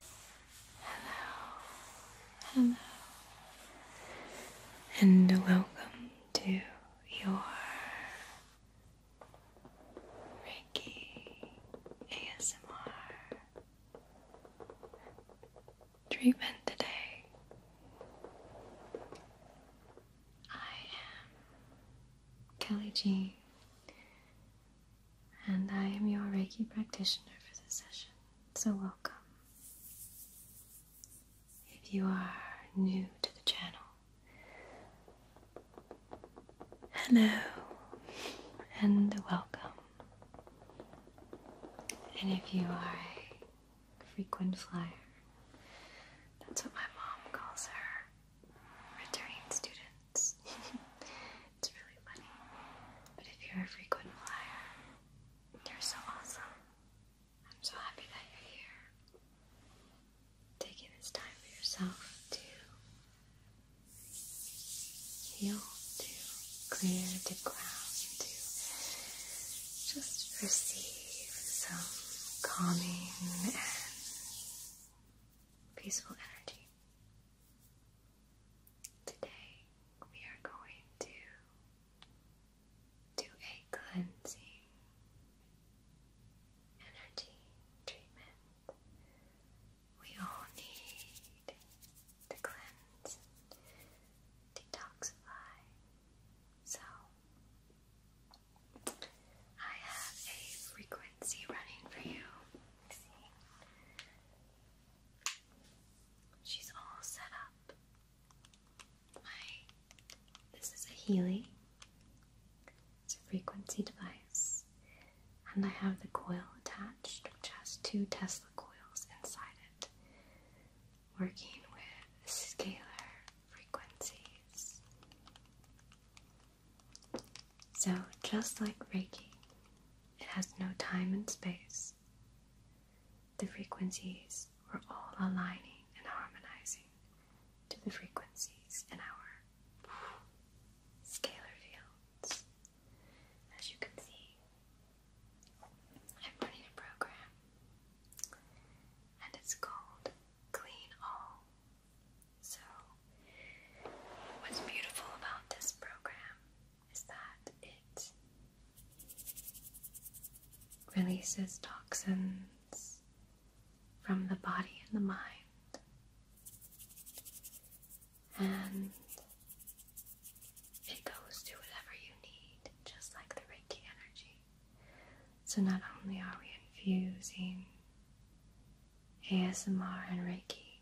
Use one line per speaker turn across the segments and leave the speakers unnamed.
Hello, hello, and welcome to your Reiki ASMR treatment today. I am Kelly G, and I am your Reiki practitioner for this session, so welcome. If you are new to the channel, hello and welcome. And if you are a frequent flyer, that's what my mom calls her, returning students. It's really funny. But if you're a frequent flyer, you're so awesome. I'm so happy that you're here. Taking this time for yourself to heal, to clear to ground, to just receive some calming and peaceful energy. Today we are going to do a cleansing energy treatment. We all need to cleanse detoxify. So I have a frequency running for you. She's all set up. this is a Healy. It's a frequency device. And I have the coil attached, which has two Tesla coils inside it, working with scalar frequencies. So, just like Reiki, it has no time and space. The frequencies are all aligning and harmonizing to the frequencies in our scalar fields. As you can see, I'm running a program and it's called Clean All. So, what's beautiful about this program is that it releases toxins from the body and the mind, and it goes to whatever you need, just like the Reiki energy. So, not only are we infusing ASMR and Reiki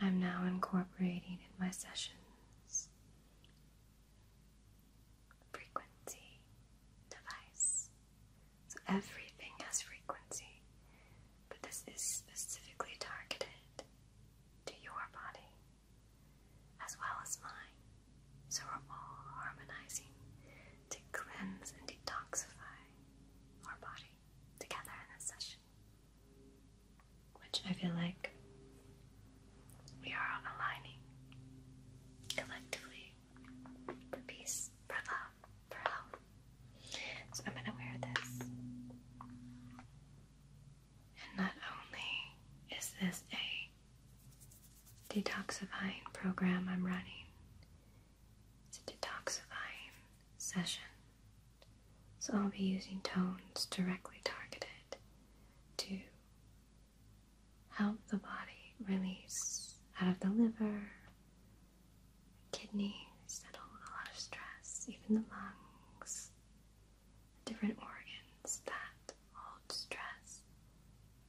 I'm now incorporating in my sessions frequency device. So everything has frequency, but this is specifically targeted to your body as well as mine. So we're all harmonizing to cleanse and detoxify our body three together in this session, which I feel like we are aligning collectively for peace, for love, for health. So I'm going to wear this. And not only is this a detoxifying program I'm running, it's a detoxifying session so I'll be using tones directly targeted to help the body release out of the liver, kidneys, settle a lot of stress, even the lungs, different organs that hold stress.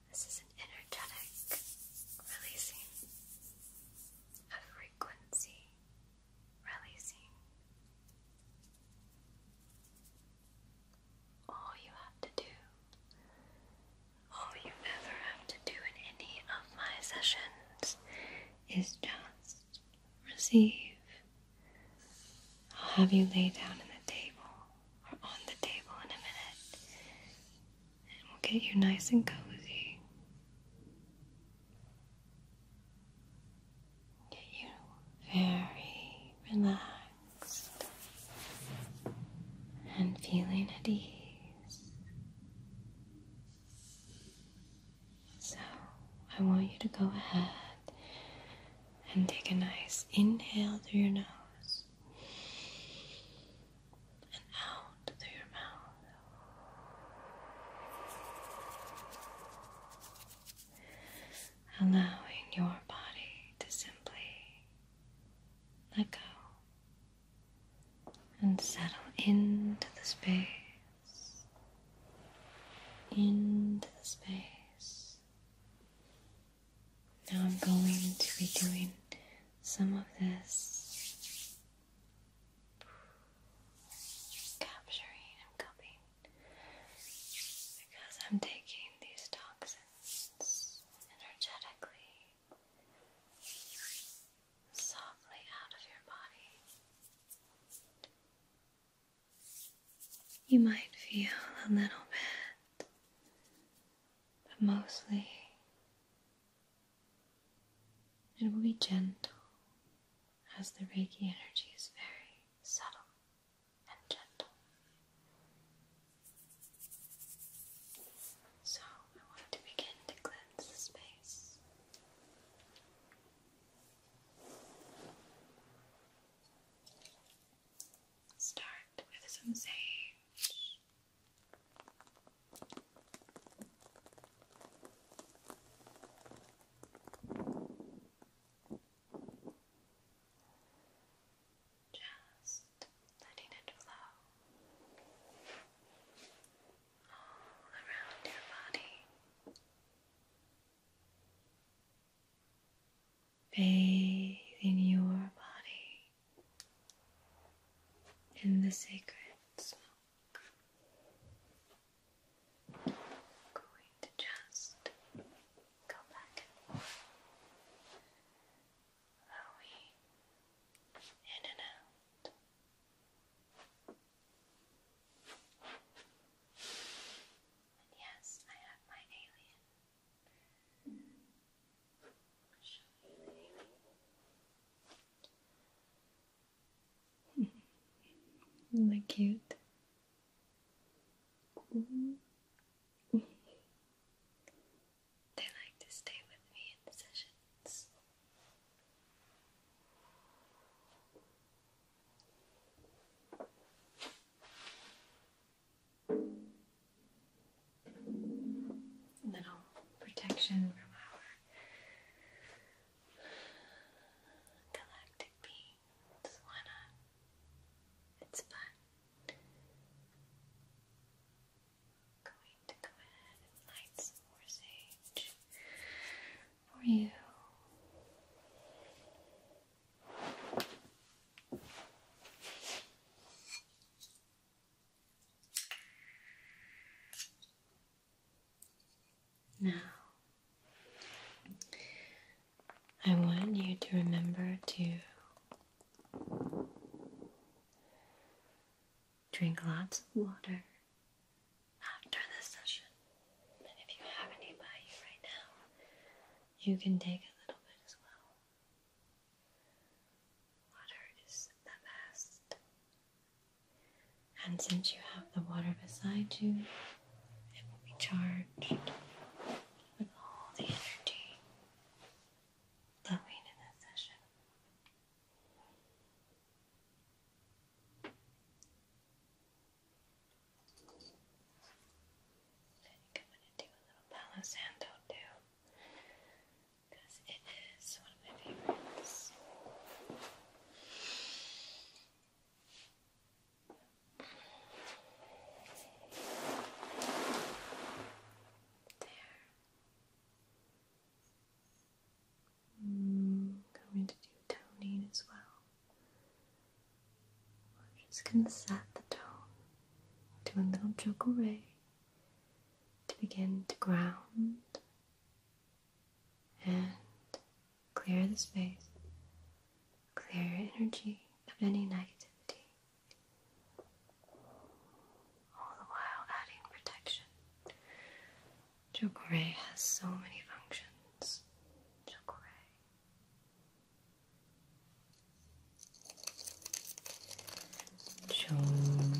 This is an energetic releasing, a frequency releasing. All you have to do, all you ever have to do in any of my sessions is just receive. I'll have you lay down in the table or on the table in a minute, and we'll get you nice and cozy. Get you very relaxed and feeling at ease. So, I want you to go ahead and take a nice inhale through your nose and out through your mouth allowing your body to simply let go and settle into the space, into the space. Now I'm going to be doing some of this capturing and cupping because I'm taking these toxins energetically, softly out of your body. You might feel a little bit, but mostly it will be gentle as the Reiki energy is very subtle and gentle. So I want to begin to cleanse the space. Start with some sage. Just letting it flow all around your body, bathing your body in the sacred going to just go back and forth. in and out? And yes, I have my alien. Show me the alien. Isn't that cute? They like to stay with me in sessions. Little protection from our Galactic beans, why not? It's fun. Going to go ahead and light some more sage for you. Now, I want you to remember to drink lots of water after this session. And if you have any by you right now, you can take a little bit as well. Water is the best and since you have the water beside you, it will be charged with all the energy flowing in this session. I think I'm to do a little Palo Santo it is my favorites. There. Mm, I'm going to do toning as well. I'm just going to set the tone. Do a little joke array to begin to ground and clear the space, clear energy of any negativity, all the while adding protection. Chakray has so many functions. Chakray.
Chakray.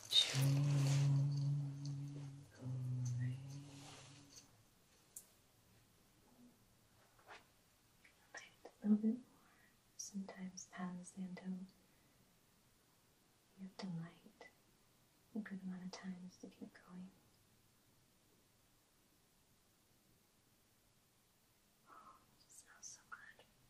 A little bit more.
Sometimes the you have to light a good amount of times to get going. Oh, smells so good.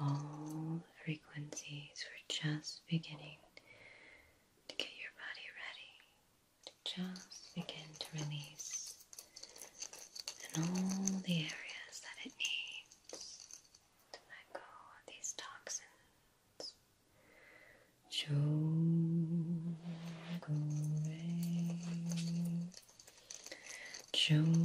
all the frequencies were just beginning to get your body ready to just begin to release and all the areas that it needs to let go of these toxins. Shogure. Shogure.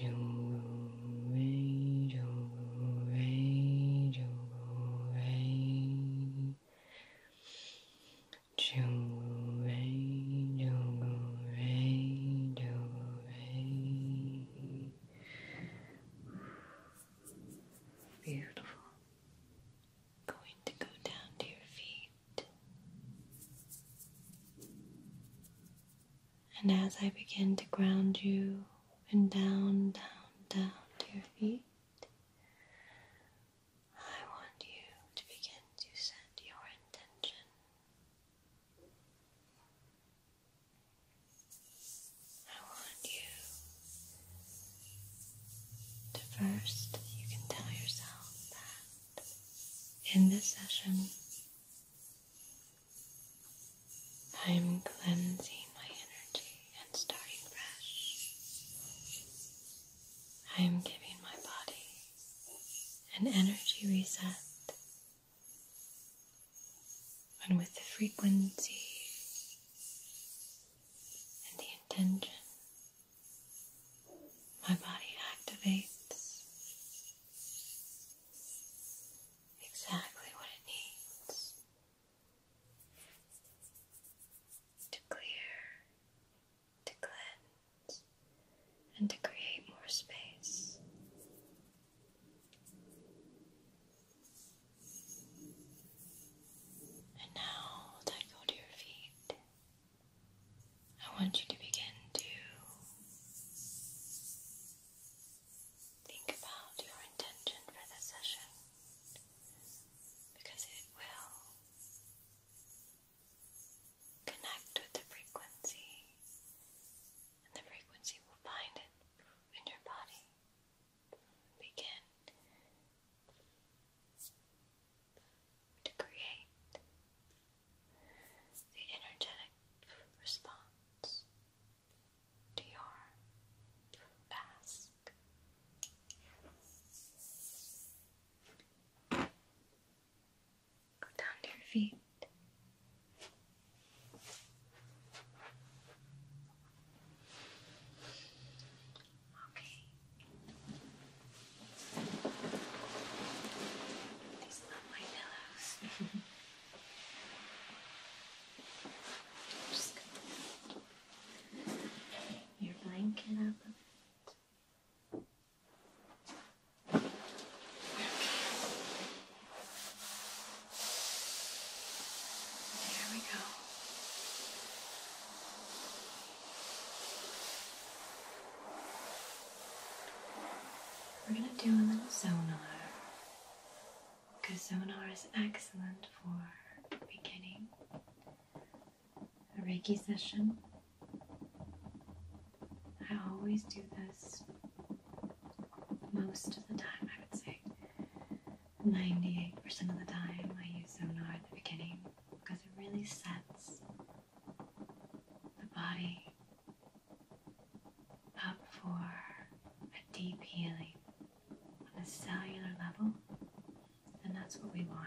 do rain, jungle rain, jungle rain, jungle rain, jungle rain, jungle rain. Beautiful. Going to go down to your feet. And as I begin to ground you and down, down, down to your feet, I want you to begin to set your intention. I want you to first, you can tell yourself that in this session, I'm cleansing my energy and starting fresh. I am giving my body an energy reset. And with the frequency and the intention my body
activates exactly what it needs
to clear, to cleanse, and to create more space. And now let go to your feet. I want you to begin to think about your intention for this session because it will connect with the frequency and the frequency will find it in your body. Begin to create the energetic response to your task. Go down to your feet.
Okay, these lovely pillows.
Just gonna your blanket up a bit. Okay. There we go. We're going to do a little sonar because sonar is excellent for beginning a Reiki session. I always do this most of the time, I would say. 98% of the time, I use sonar at the beginning because it really sets the body up for a deep healing on a cellular level, and that's what we want.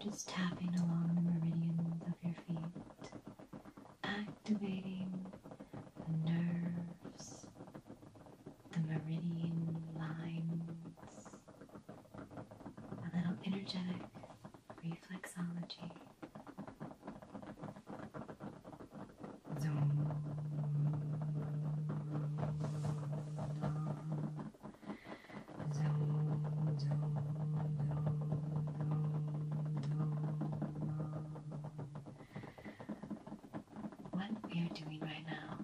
Just tapping along the meridians of your feet, activating the nerves, the meridian lines, a little energetic reflexology. What we are doing right now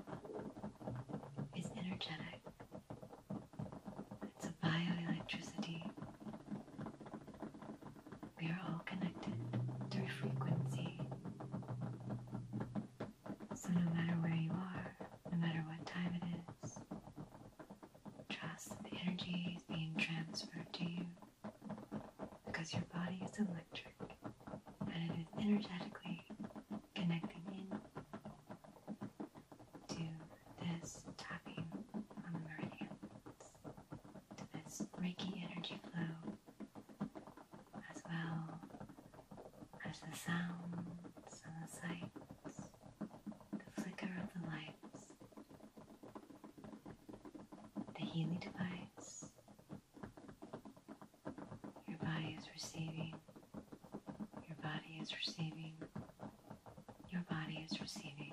is energetic. It's a bioelectricity we are all connected through frequency. So, no matter where you are, no matter what time it is, trust that the energy is being transferred to you because your body is electric and it is energetically connecting in to this tapping on the meridians, to this Reiki energy flow as well as the sounds and the sights, the flicker of the lights. The healing device. Your body is receiving. Your body is receiving. Your body is receiving.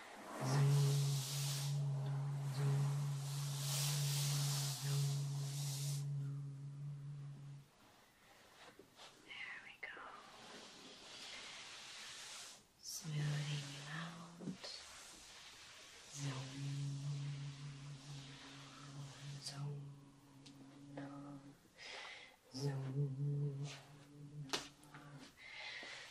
There we go. Smoothing you out. Zoom. Zoom. Zoom.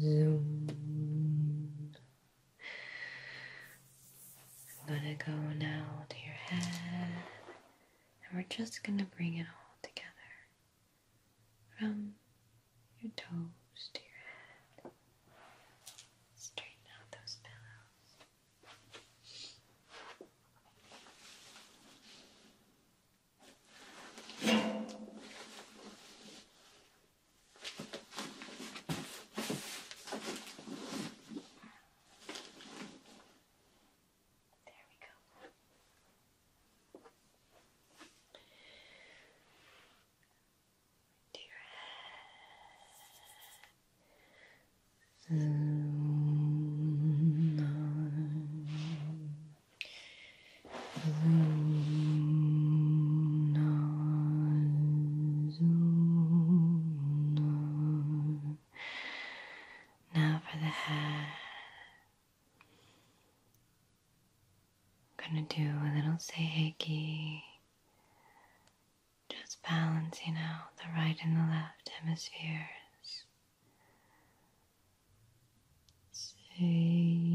Zoom. I'm gonna go now to your head, and we're just gonna bring it all together from your toes to your head. Straighten out those pillows. There we go. To your head. So, um, now for the hair. I'm gonna do a little seiheki, just balancing out the right and the left hemispheres. Say,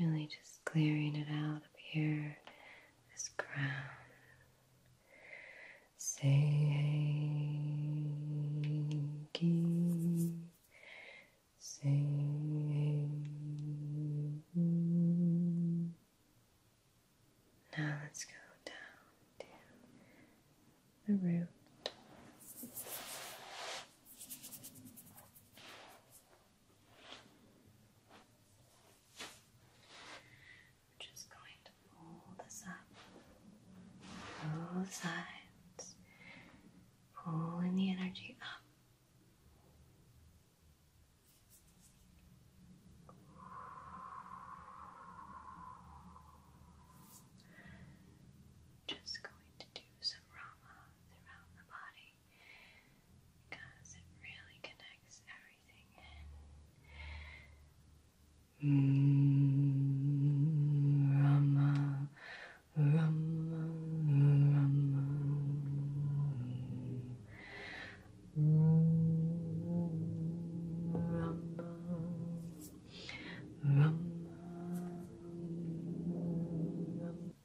Really just clearing it out up here, this crown. Say Now let's go down to the root. I'm just going to pull this up both sides, pulling the energy up. Just going to do so of Rama throughout the body because it really connects everything in. Mm, Rama, Rama, Rama. Mm, Rama, Rama. Rama.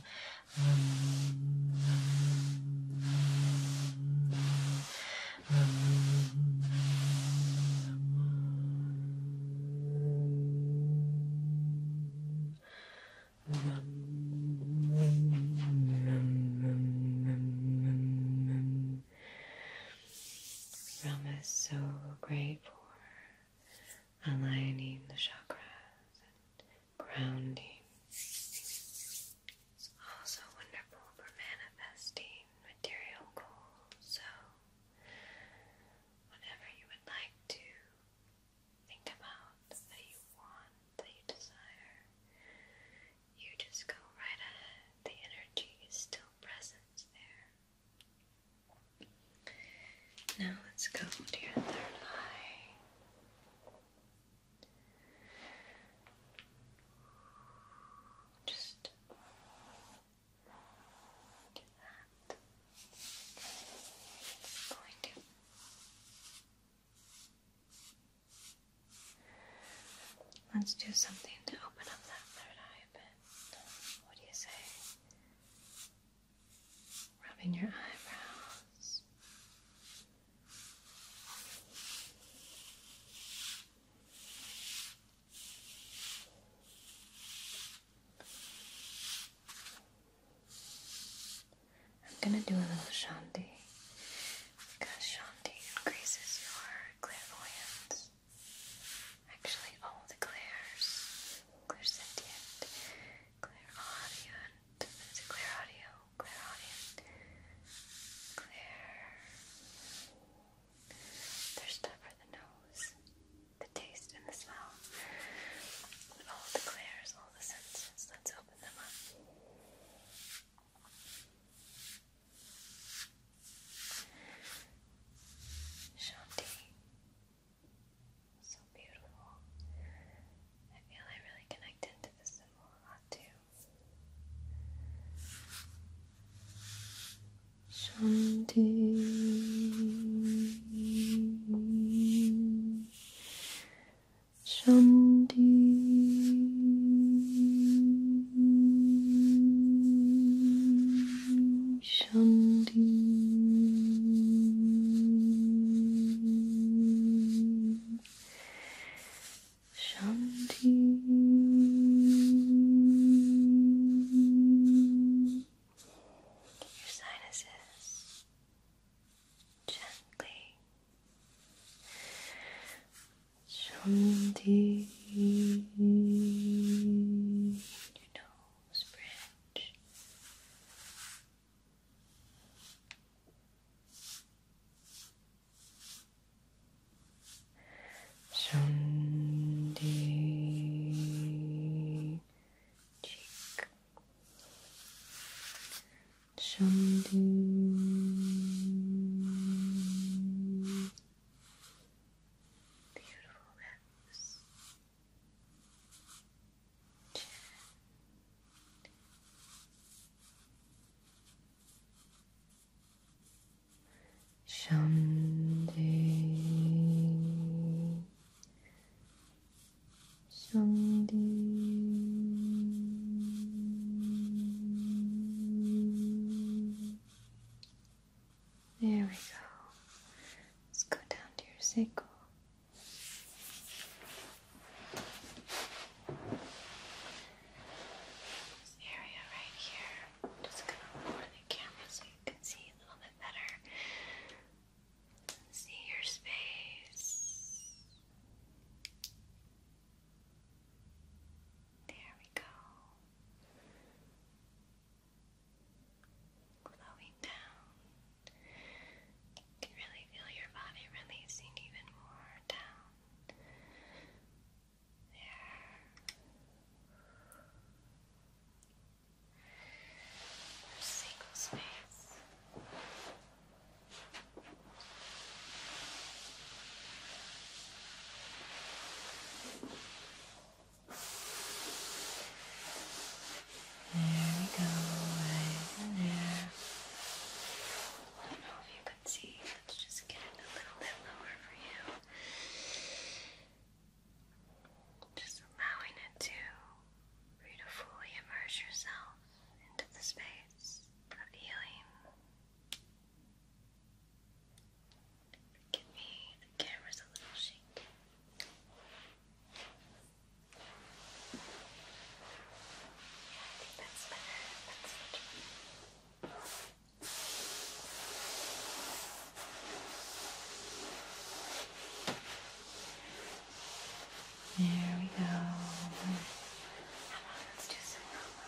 Ram
is so grateful aligning the chakras and grounding. It's also wonderful for manifesting material goals. So, whatever you would like to think about that you want, that you desire, you just go right ahead. The energy is still present there.
Now let's go to your third eye. Just do that.
I'm going to Let's do something to open up that third eye a What do you say? rubbing your eyebrows. I'm going to do a little shanti because shanti increases your clairvoyance. Actually, all the clairs, clairsentient, Clairaudient. Is it Clairaudio? Clairaudient. Claire. There's stuff for the nose, the taste, and the smell. All the clairs, all the senses. Let's open them up. Shanti. So beautiful. I feel I really connected to this symbol a lot too. Shanti. Shanti. Shanti
Shanti Your sinuses gently
Shanti your nose Rose Branch. cheek. Shandy
beautiful lips.
Shanti, Shanti. There we go. Let's go down to your sacral this area right here, just gonna lower the camera so you can see a little bit better. See your space. There we go flowing down. You can really feel your body releasing even more down there. There's space. There we go, right in there. I don't know if you can see. Let's just get it a little bit lower for you. Just allowing it to for immerse yourself into the space of healing. Give me the camera's a little shaky.
There we go. How about let's do some Rama?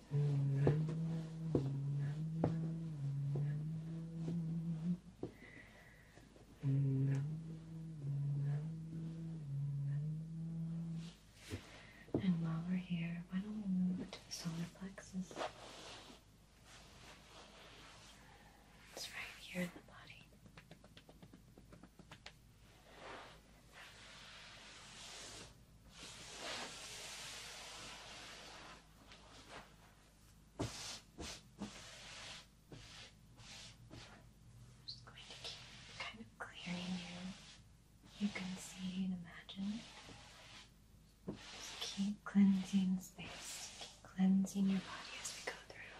And while we're here, why don't we move to the solar plexus? It's right here in the body. I'm just going to keep kind of clearing you. You can see and imagine. Just keep cleansing space, keep cleansing your body as we go through.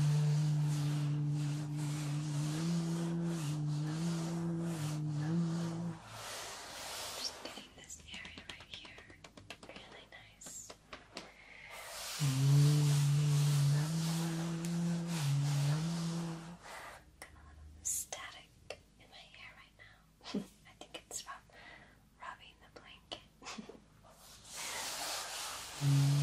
Mm-hmm. Just getting this area right here
really nice. Got a lot static in my hair right now.
I think it's about rubbing the blanket.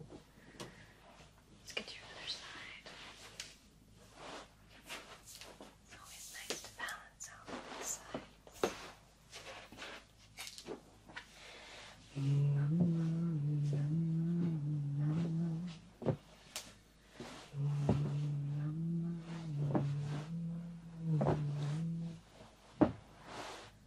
Let's get to your other side. It's always nice to balance out both sides.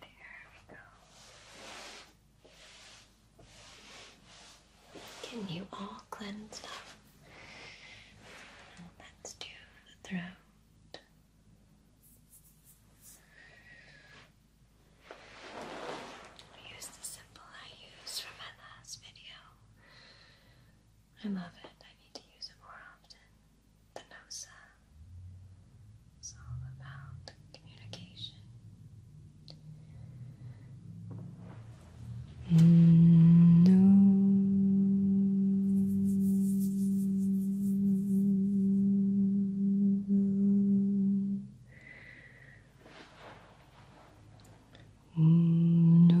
There we go. Can you all cleanse up? Let's do the throat. Use the symbol I used for my last video. I love it. I need to use it more often. The NOSA is all about communication.
Mm Uno
Uno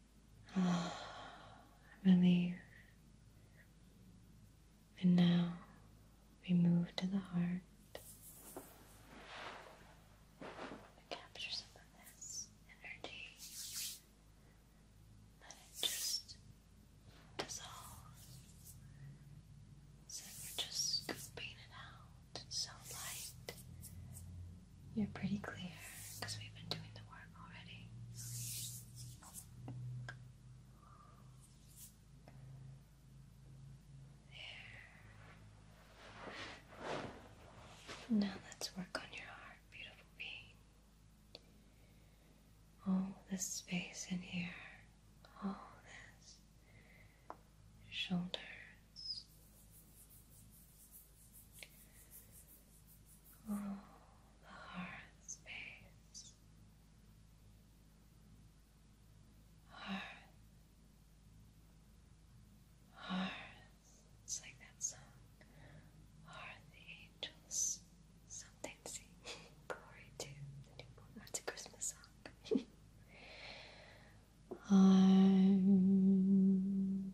Oh, relief. And now we move to the heart. capture some of this energy. Let it just dissolve. So we're just scooping it out. so light. You're pretty clear because we've been doing the work already. There. Now let's work on your heart, beautiful being. All this space in here, all this shoulders,
Oh, the heart
space, heart, heart. It's like that song, are the angels something sing glory to the newborn? That's oh, a Christmas song. I'm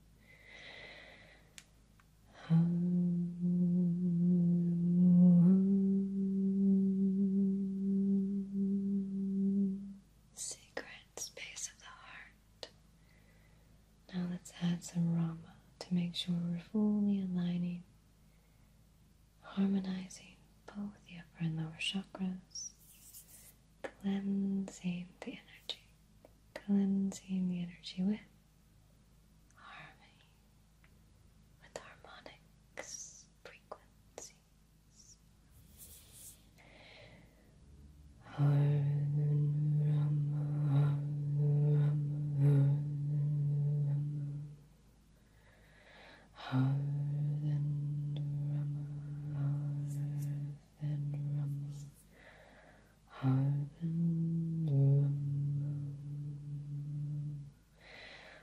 Oh, secret space of the heart. Now let's add some Rama to make sure we're fully aligning, harmonizing both the upper and lower chakras, cleansing the energy, cleansing the energy with harmony, with harmonics, frequencies. Harden, and rumble, hard and rumble,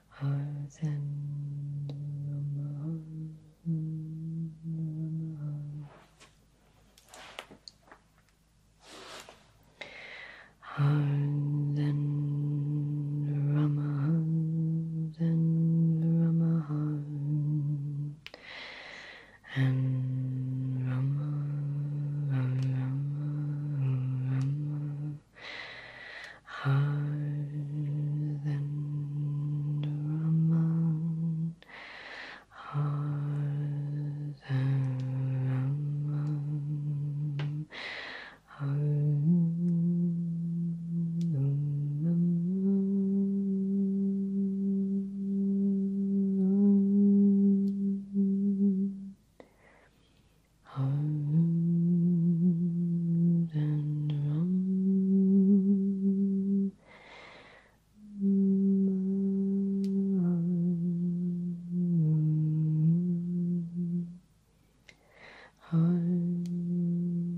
hard and rumble, rumble. Hard and Rama, hard and Rama, and rumble, rumble, rumble, rumble. Hard and rumble, hard and rumble, hard and rumble. Hums and rum. Hum, hum, hum.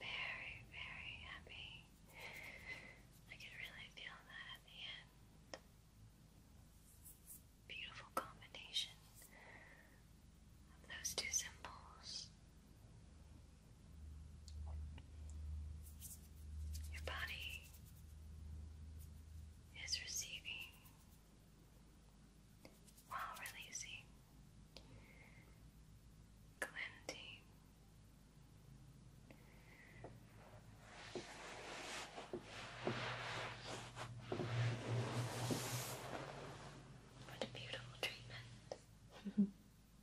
very, very happy. I can really feel that at the end. Beautiful combination of those two symbols. Your body is receiving while releasing, cleansing. What a beautiful treatment.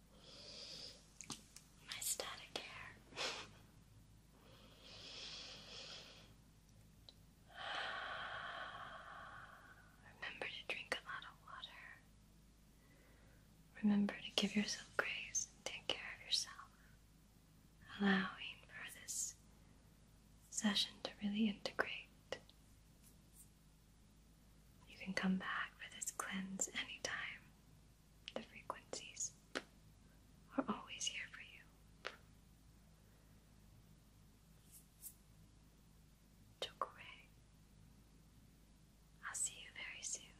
My static hair. Remember to drink a lot of water. Remember to give yourself grace and take care of yourself, allowing for this session to really integrate. You can come back for this cleanse anytime. The frequencies are always here for you took I'll see you very soon.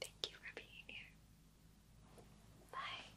Thank you for being here. Bye.